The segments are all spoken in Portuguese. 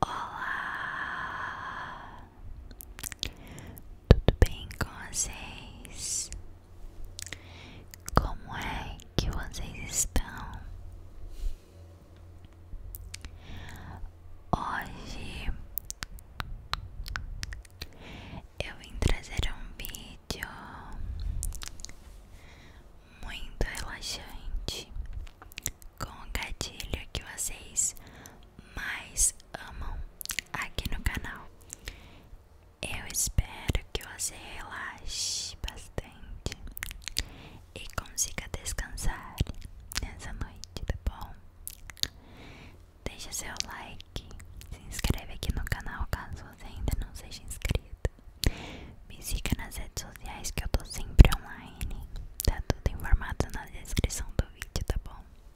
Olá, tudo bem com vocês? Como é que vocês estão? Hoje eu vim trazer um vídeo muito relaxante com o gatilho que vocês mais amam aqui no canal. Eu espero que você relaxe bastante e consiga descansar nessa noite, tá bom? Deixe seu like, se inscreve aqui no canal caso você ainda não seja inscrito. Me siga nas redes sociais que eu tô sempre online. Tá tudo informado na descrição do vídeo, tá bom?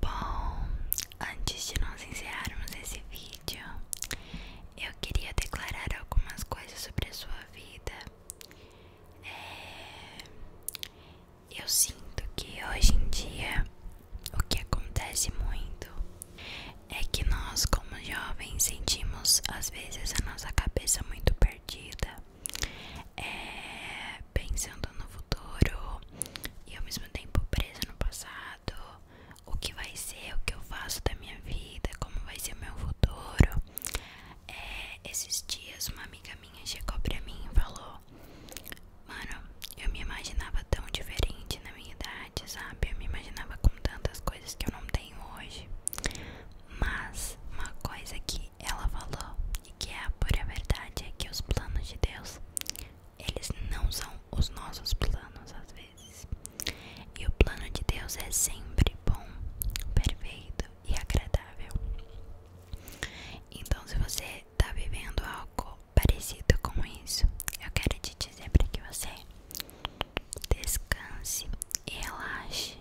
Bom, antes de nós encerrarmos esse vídeo, eu queria declarar algumas coisas sobre a sua vida é, eu sinto que hoje em dia o que acontece muito é que nós, como jovens, sentimos às vezes a nossa cabeça muito perdida, é, pensando no futuro e ao mesmo tempo preso no passado. O que vai ser, o que eu faço da minha vida, como vai ser o meu futuro. É, esses dias uma amiga minha chegou pra mim e falou: Mano, eu me imaginava tão diferente na minha idade, sabe? Eu me imaginava com tantas coisas que eu não tenho hoje. Mas uma coisa que ela falou e que é a pura verdade é que os planos de Deus, eles não são os nossos planos às vezes. E o plano de Deus é sempre bom, perfeito e agradável. Então, se você está vivendo algo parecido com isso, eu quero te dizer para que você descanse e relaxe,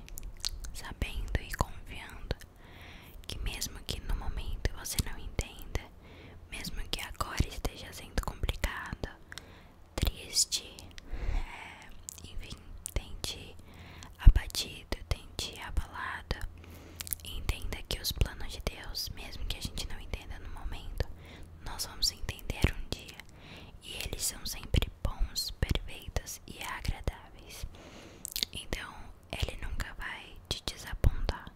sabendo e confiando que, mesmo que no momento você não entenda, mesmo que agora esteja sendo complicado, triste, é, enfim, tente abatido, tente abalado. Entenda que os planos de Deus, mesmo que a gente não entenda no momento, nós vamos entender um dia. E eles são sempre bons, perfeitos e agradáveis. Então, ele nunca vai te desapontar.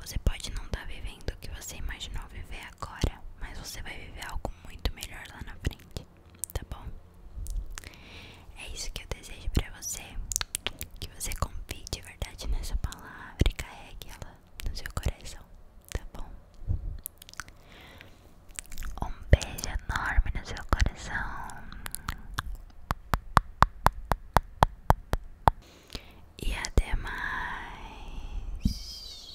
Você pode não estar tá vivendo o que você imaginou viver agora, mas você vai viver algo muito melhor lá na frente, tá bom? É isso que eu desejo pra você, que você confie de verdade nessa palavra e carregue ela no seu coração, tá bom? Um beijo enorme no seu coração e até mais.